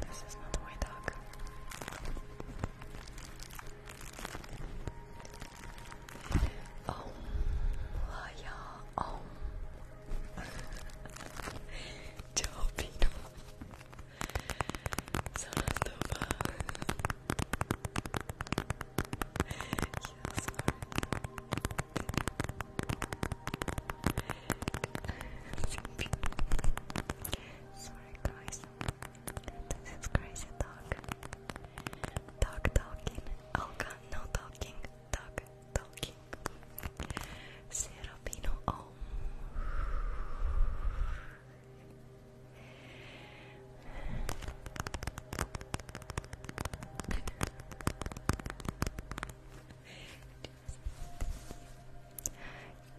This is not my dog. Oh, Laya, oh. Ciao, Sono stufa. yeah, sorry. Sleepy sorry guys. This is crazy dog. Dog talking. Olga, no talking. Dog talking. Serapino,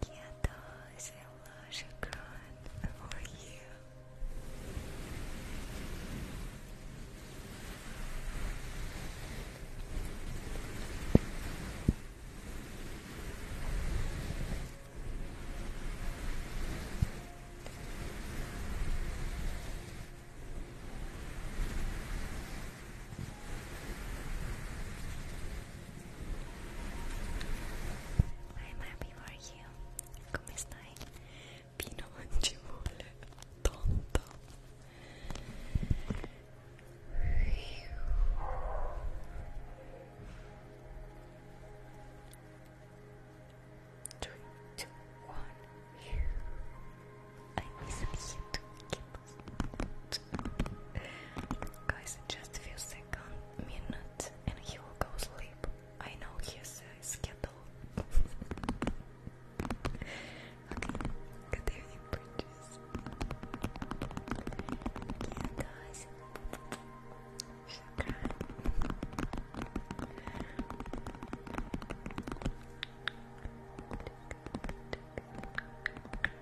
Quietos, Allah shukran for you. I'm happy for you. Come stai? Pino non tonto. Three, two, one. I miss you too. Guys, just few seconds, minutes, and he will go sleep. I know his schedule. okay, good evening, bridges. Yeah, guys. Shukran.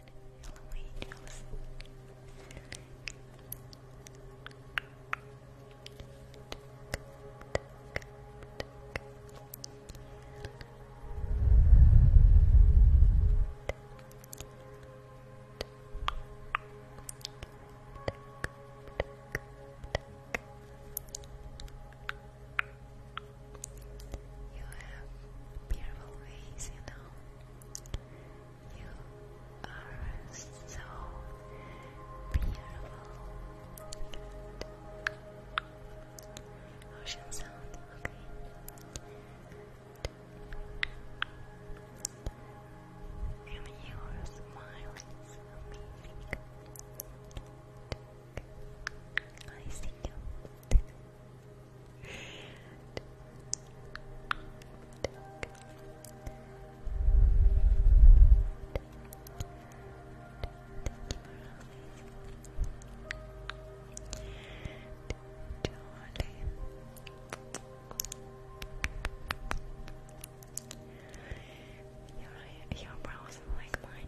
Yellow angels. Good. You have beautiful ways, you know. You are so beautiful. Ocean sound, okay. And your smile is amazing. I see you. Your, your brows like mine.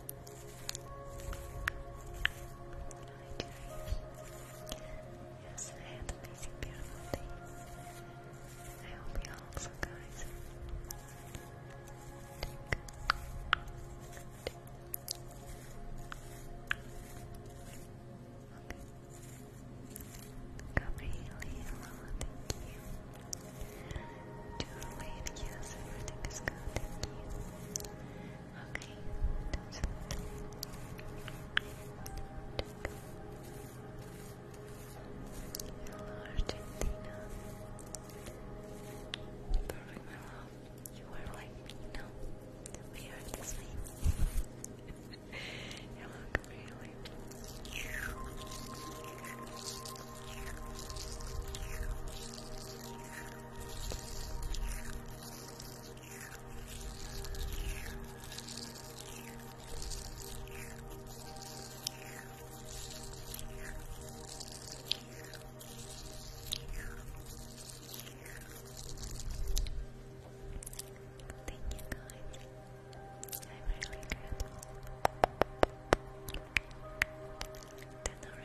Yes, I had amazing, beautiful day. I hope you all also, guys. Okay. Gabriela, hello, thank you. Too late, yes, everything is good, thank you. Okay, that's it. Hello, Argentina. Perfect, You are like me now. We are the same. you look really. Thank you guys. I'm really grateful. Don't know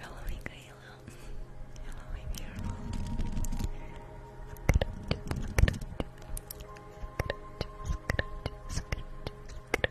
Hello, Michaela. Hello, my beautiful. Scratch, scratch, scratch, scratch, scratch,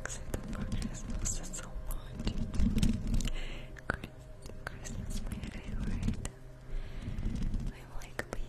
excited for Christmas so much. Christmas, my favorite. I'm like baby.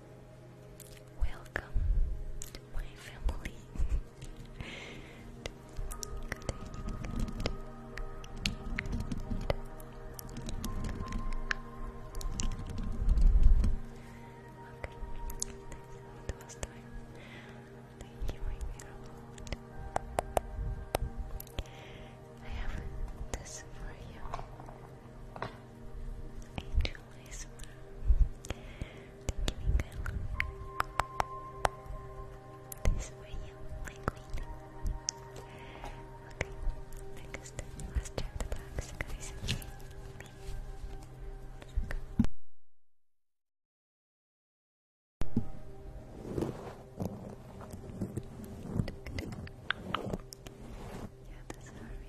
Welcome to my family. Okay, it was time. Thank you, I have this for you. Angel Whisper. Thank you, This for you, my queen. Okay, next, let's check the box, guys. Me. Yeah, the sorry.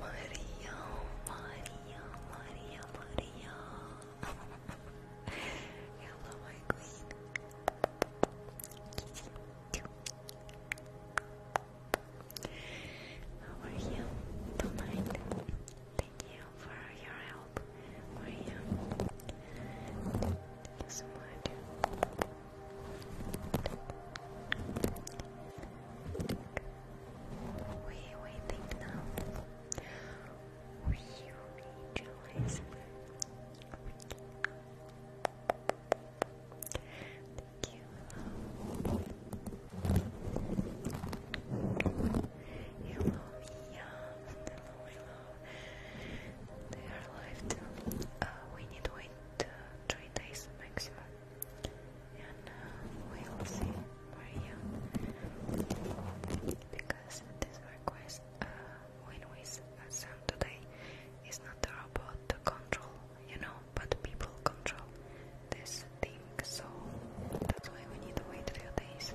Maria, Maria, Maria, Maria. Hello, my queen. are you tonight? Thank you for your help. are you? Thank you so We waiting now. We rejoice. Thank you. Hello, young. Hello, They are left. we need wait three days maximum. And we'll see Maria. Because this request uh, when we send today is not about the control, you know but people control this thing, so that's why we need to wait a few days.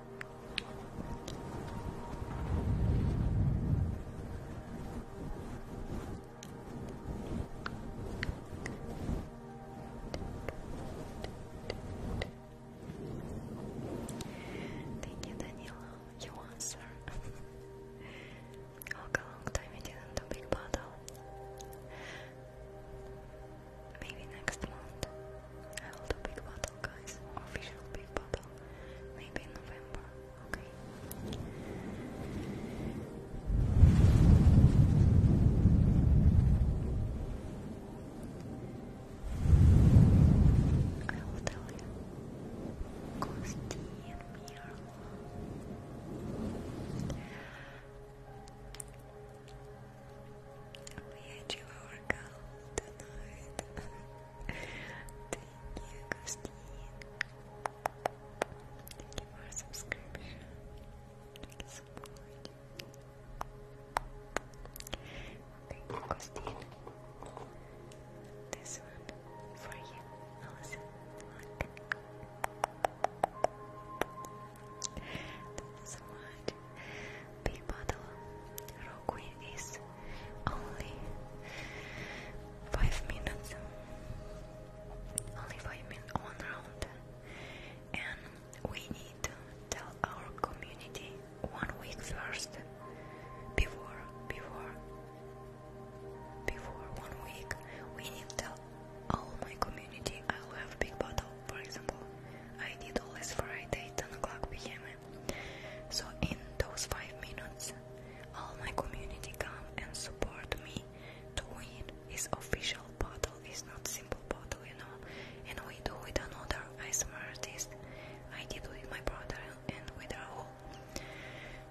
Thank you, Daniela. You answer. How long time it is in the big bottle? Maybe next month I hold a big bottle, guys. Official big bottle. Maybe in November. Okay. I will tell you. Kosti and we had you our girl tonight. Thank you, Christine. Thank you for subscription. Thank you Christine. This one for you, Alison. That's what Big Bottle Rogue is only five minutes. Only five minutes one round. And we need tell our community one week first before before before one week we need tell all my community I'll have big bottle for example, I did always Friday 10 o'clock p.m. So in those five minutes, all my community come and support me to win. This official bottle is not simple bottle, you know. And we do it another ASMR artist. I did with my brother and with Raul.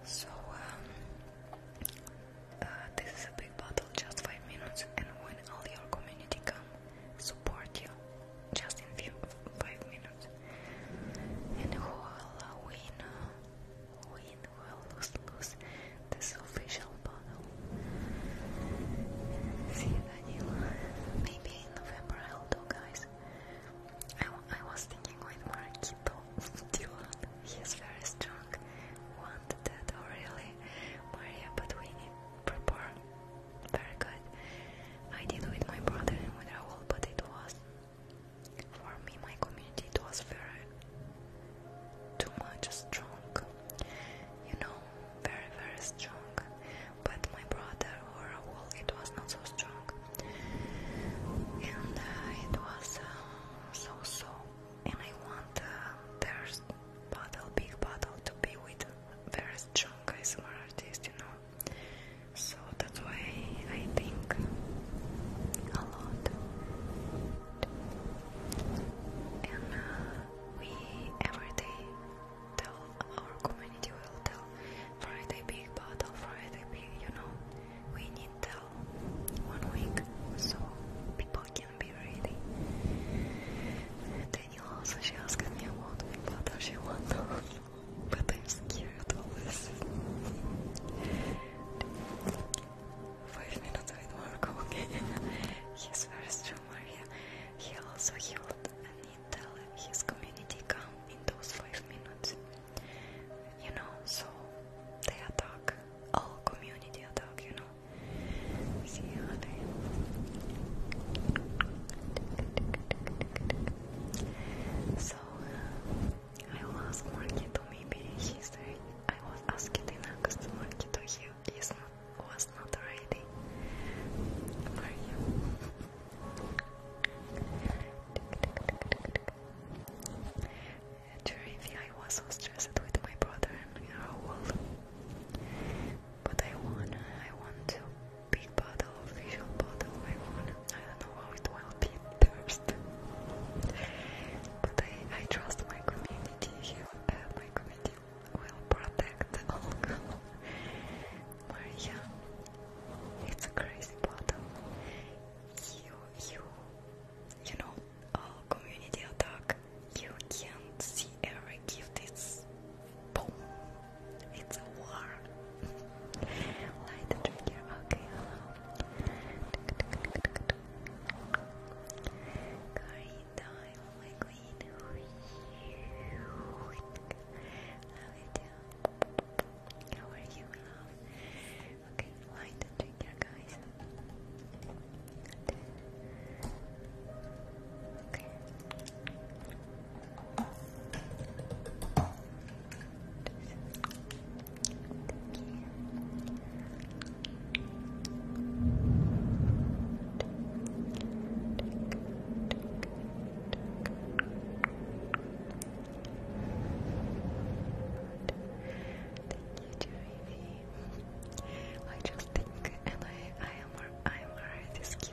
So um, uh, this is a big bottle, just five minutes, and when all your community come support you just in few five minutes. And who will win? Win will lose? this official battle. See you, Danilo. Maybe in November I'll do, guys. I, I was thinking with Marquito Dion. He is very strong. Want that, or oh, really, Maria? But we need very good. I did with my brother and with Raul, but it was for me, my community, it was very too much strong. You know, very very strong. But my brother or Raul, it was not so strong, and uh, it was uh, so so. And I want uh, their bottle, big bottle, to be with very strong ASMR artist, you know. So that's why I think a lot. And uh, we every day tell our community will tell Friday big battle, Friday big, you know. We need tell one week so people can be ready. Daniel also shouts me won't be bothered she won't But I'm scared always. Five minutes with Marco. He's very strong Maria. He also healed Anita. his community come in those five minutes. You know, so they attack all community attack, you know. So, uh, I will ask Marky to maybe he's there. I was asking in August to Marky to he is not, was not ready for you. During I was so stressed with my brother and our wall. But I want I want a big bottle, official bottle. I want I don't know how it will be thirsty. but I, I trust my community here. Uh, my community will protect alcohol. Maria, it's a crazy bottle. You, you, you know, all community attack you can't see every gift it's boom it's a war light the trigger okay hello Curry time my queen love it how are you love okay light the trigger guys Thank you, Jeremy. I just think, and I, I I'm already scared.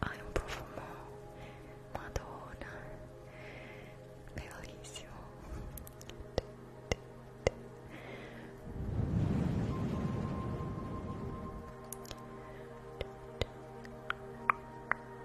Ha un profumo madonna bellissimo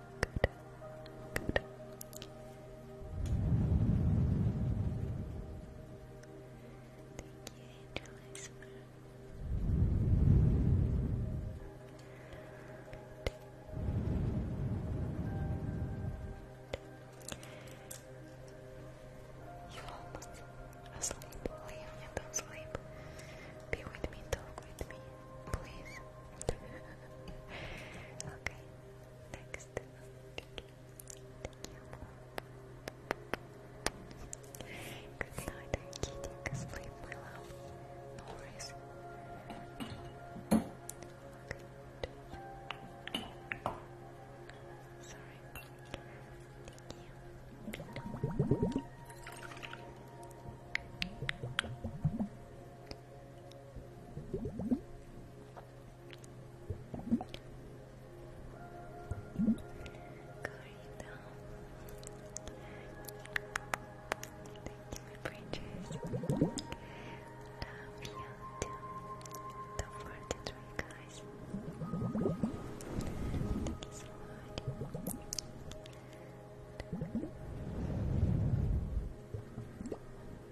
Good. Good. Thank you, Angel You almost asleep. Leave me, not sleep. Be with me, talk with me, please. okay. Next. Thank you. Good night, I'm Sleep, my No worries. Sorry. Thank you. Thank you, my bridges. Love you too. Don't forget to drink, guys. Thank you so much.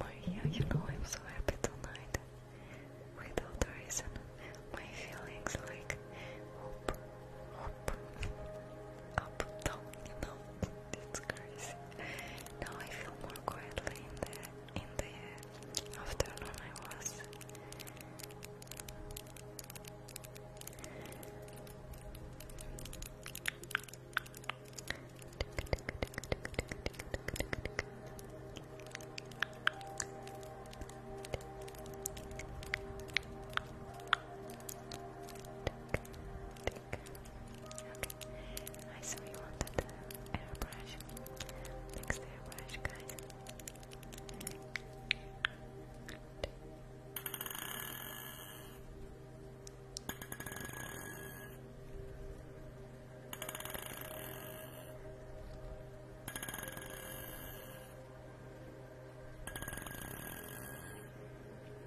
Maria, you know I'm so happy tonight. Without reason, my feelings like up, up, up, down, you it's crazy. Now I feel more quietly in the in the afternoon I was. I saw you wanted the uh, airbrush. Next airbrush, guys. Okay.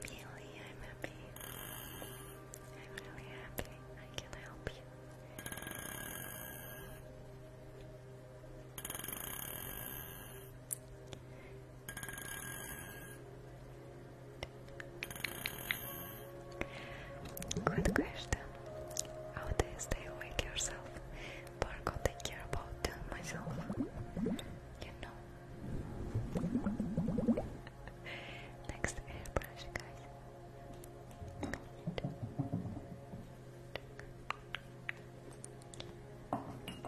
Really, I'm happy. I'm really happy. I can help you. Good question. How do you stay awake yourself? But I care about myself. You know. Next airbrush, guys. Airbrush.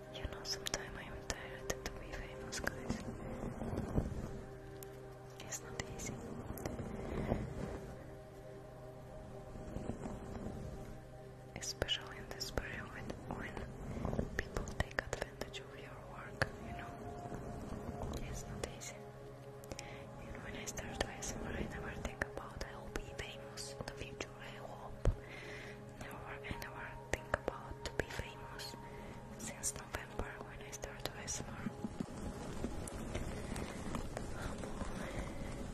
You know, sometimes I am tired to be famous, guys. It's not easy. Especially in this period when, people take advantage of your work, you know. It's not easy. And when I start to ASMR, I never think about I'll be famous in the future. I hope never and never think about to be famous since November when I started ASMR. Humble.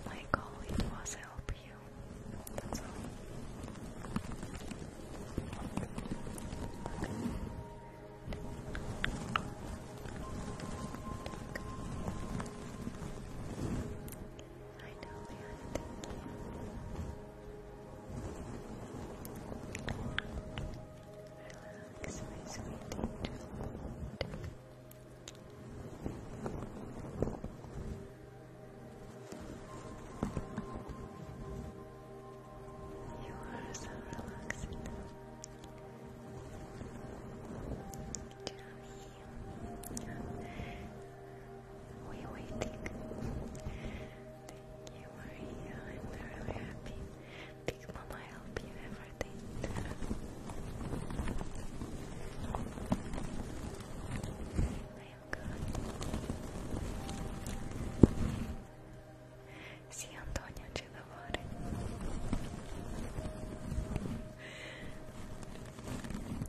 My goal was help you. I know, man. Thank you. Relax, my sweet angel. You are so relaxing. Just we waiting. Thank you, Maria. I'm really happy. Big Mama help you everything. I am good. Sì, Antonia c'è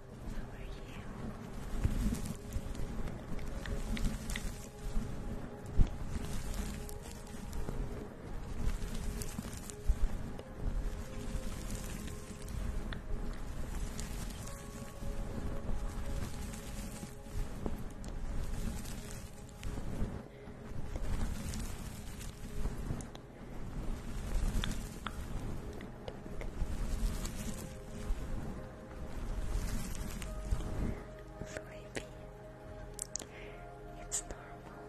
How are you? How Sleepy. It's normal.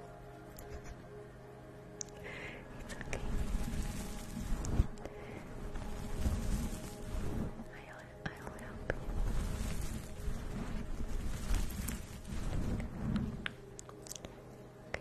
It's okay. i I'll help you.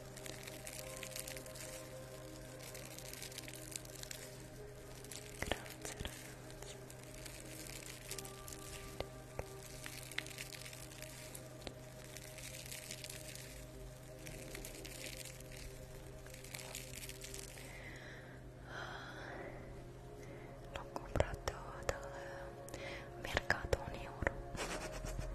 L'ho comprato dal mercato a un euro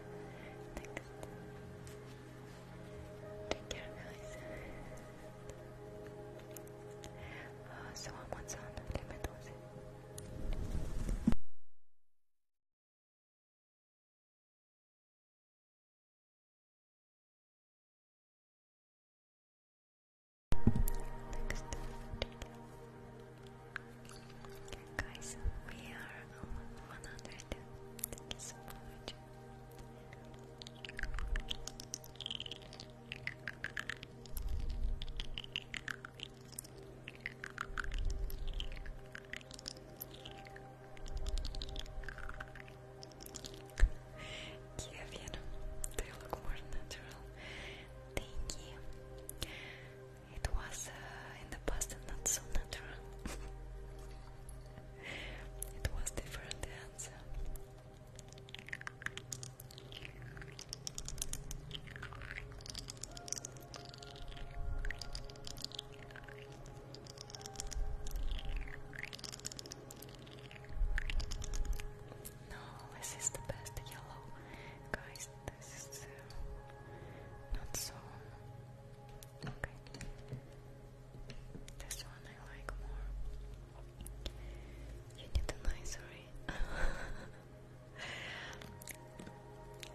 Next. Take care, guys. Uh, someone sound limit Guys, we are 100. Thank you so much. Kevin, they look more natural. Thank you. It was uh, in the past and not so natural. it was different No, this is the best yellow. Guys, is this is not so okay. This one I like more. You need an eye, sorry.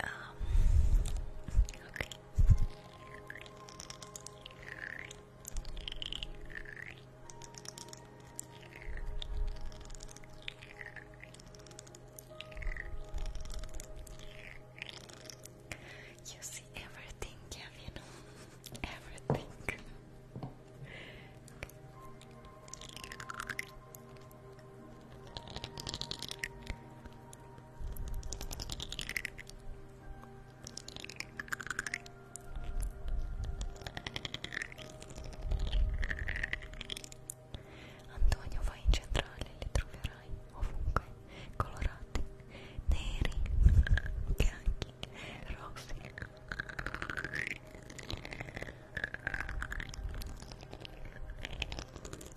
Um, you see everything, you everything. Antonio vai in centrale, li troverai ovunque, colorati, neri, bianchi, rossi.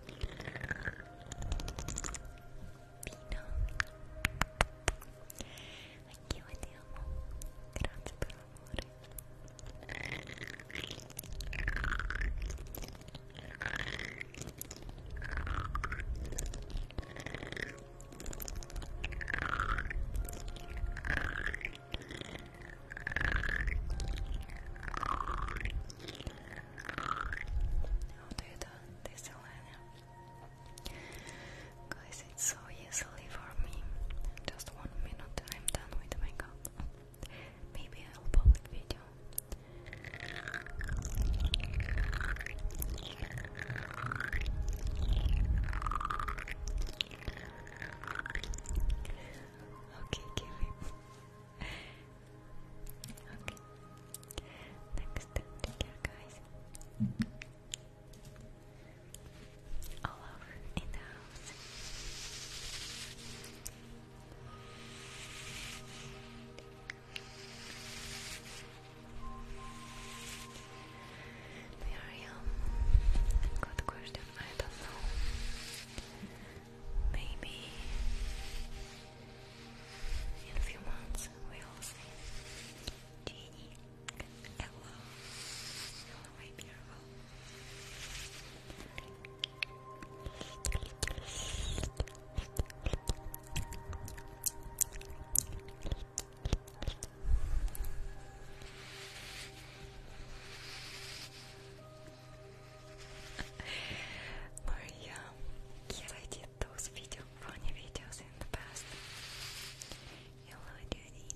Vino. Anch'io vediamo. Grazie per l'amore. do that, this Guys, it's so easily for me. Just one minute and I'm done with makeup. Maybe I'll public video. Okay, give Okay. Next time, guys. All over the house. Miriam, good question. I don't know. Maybe in a few months we'll see. Jeannie, hello, hello, my beautiful. Maria, yeah, I did those video, funny videos in the past. Hello, Judy.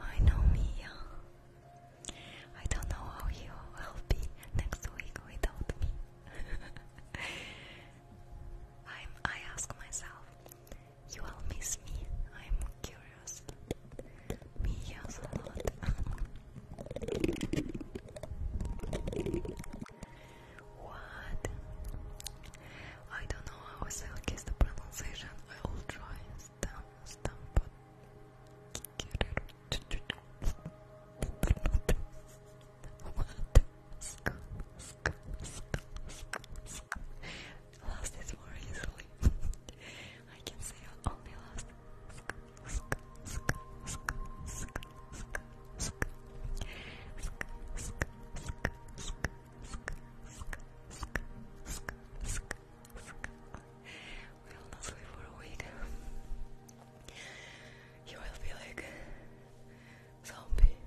I know Mia. I don't know how you will be next week without me. i I ask myself, you will miss me? I'm curious. Mia a lot. what? I don't know how to silk It's the pronunciation. I will try stamp, Stop! But Sc sc sc I can say I only lost. Sc sc will not sleep for a week. You will be like zombie.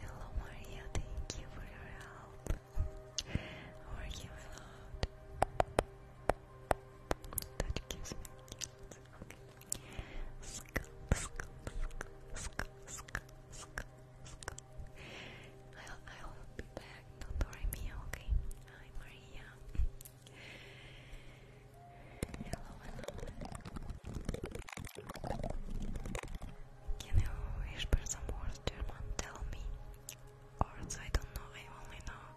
Hello, Maria. Thank you for your help. How are That gives me I'll, I'll be back, don't worry me, okay? Hi Maria. Hello, hello. Can you whisper some words, German? Tell me. Or I don't know, I only know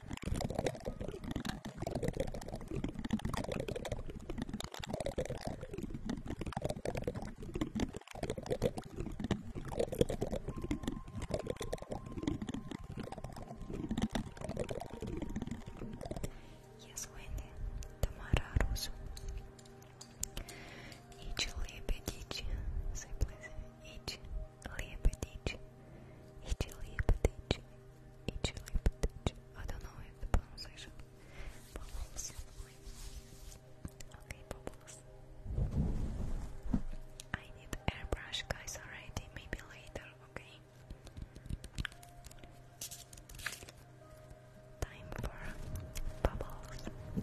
Yes, Winnie, Tamara Russo. Each lip, each, say please, each lip, each. Itiliptich. Itiliptich. I don't know if the pronunciation. Bubbles. Okay, bubbles. I need airbrush, guys, already. Maybe later, okay? Time for bubbles.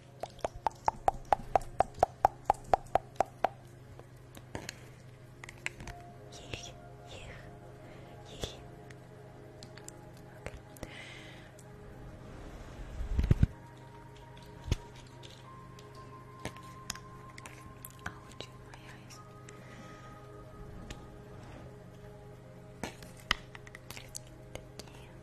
Yeah, yeah, yeah. Okay. Ouch, my eyes. Thank you.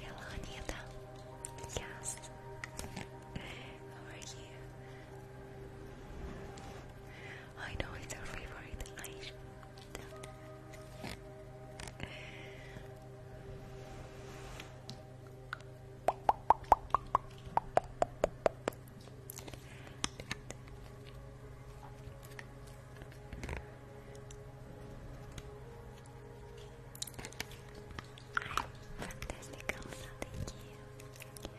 Hello, Anita. Yes. How are you? I know it's your favorite. I Fantastic, thank you.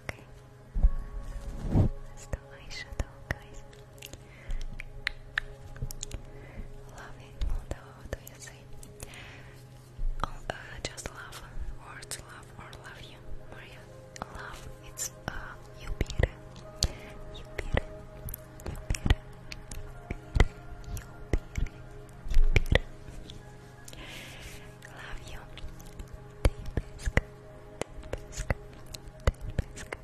Okay. Let's do eyeshadow, guys. Loving Moldova, do you say? just love, words love or love you, Maria love. It's uh, you beat it. You beat it. You beat it. You beat it. You beat it. Love you. Take biscuit. Take biscuit.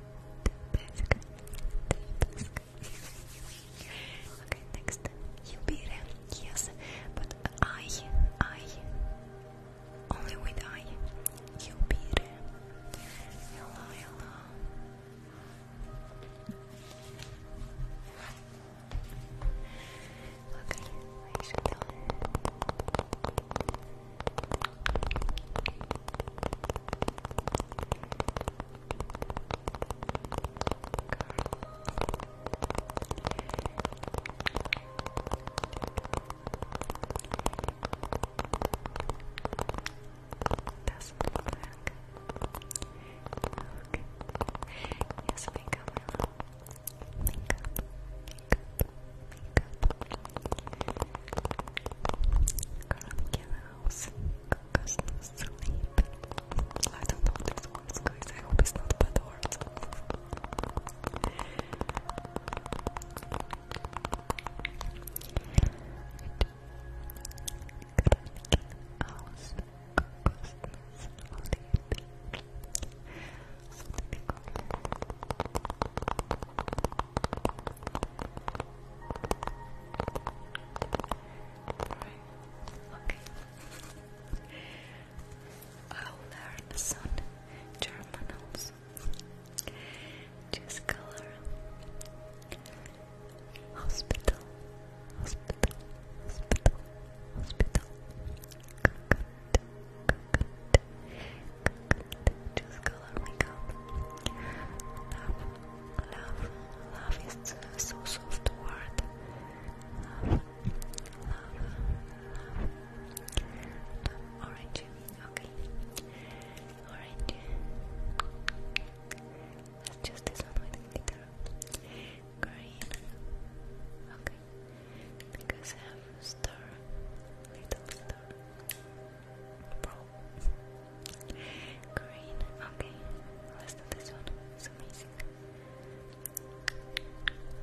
Take biscuit. Take biscuit. Okay, next. You beat it. Yes, but I, I. Only with I, you beat Hello, hello. Okay, I should tell Girl. Doesn't look Yes, makeup, Makeup, makeup, makeup. Girl, get sleep. I don't know these words, guys. I hope it's not bad words. Okay. I'll learn soon German just Choose color. Hospital. Hospital. Hospital. Hospital. Coconut. Coconut. Coconut. Choose Love. Love. Love is uh, so soft word. Love. Orange too. Okay. Alright. Let's just this one with Green. Okay. Because I have star. Little Pro. Green. Okay. Let's do this one. It's amazing.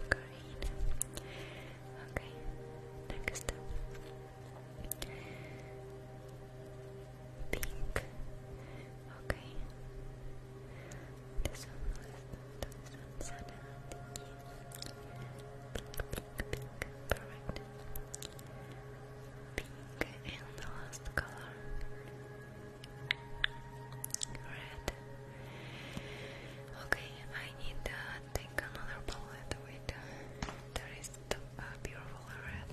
Green. Okay. Next up. Pink. Okay. This one this one Sana. Uh, pink, and the last color. Red. Okay, I need take another bullet with uh, the beautiful red.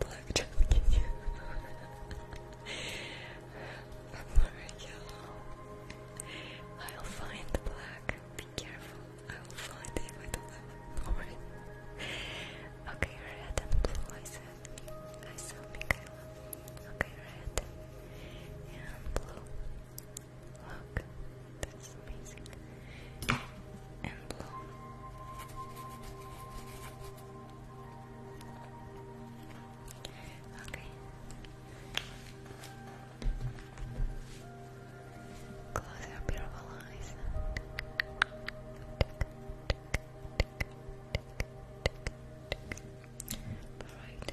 Black jacket. I'll find black. Be careful. I'll find it if I don't okay, red and blue. I said. I saw Michaela. Okay, red and blue. Look, that's amazing. And blue. Okay. Close your beautiful eyes. Alright.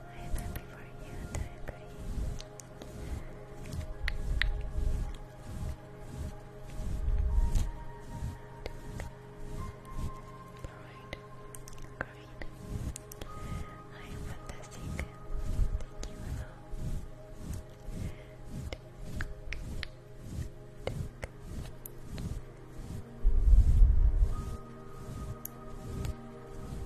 I am happy for you and I agree. Alright, great. I am fantastic. Thank you,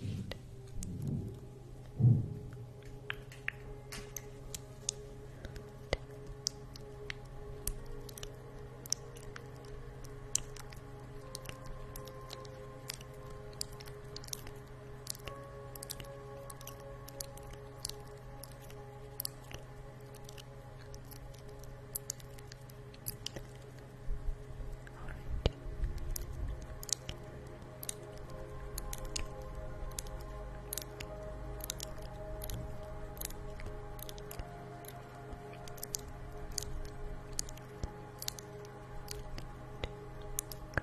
feet. Orange. Green. Blue.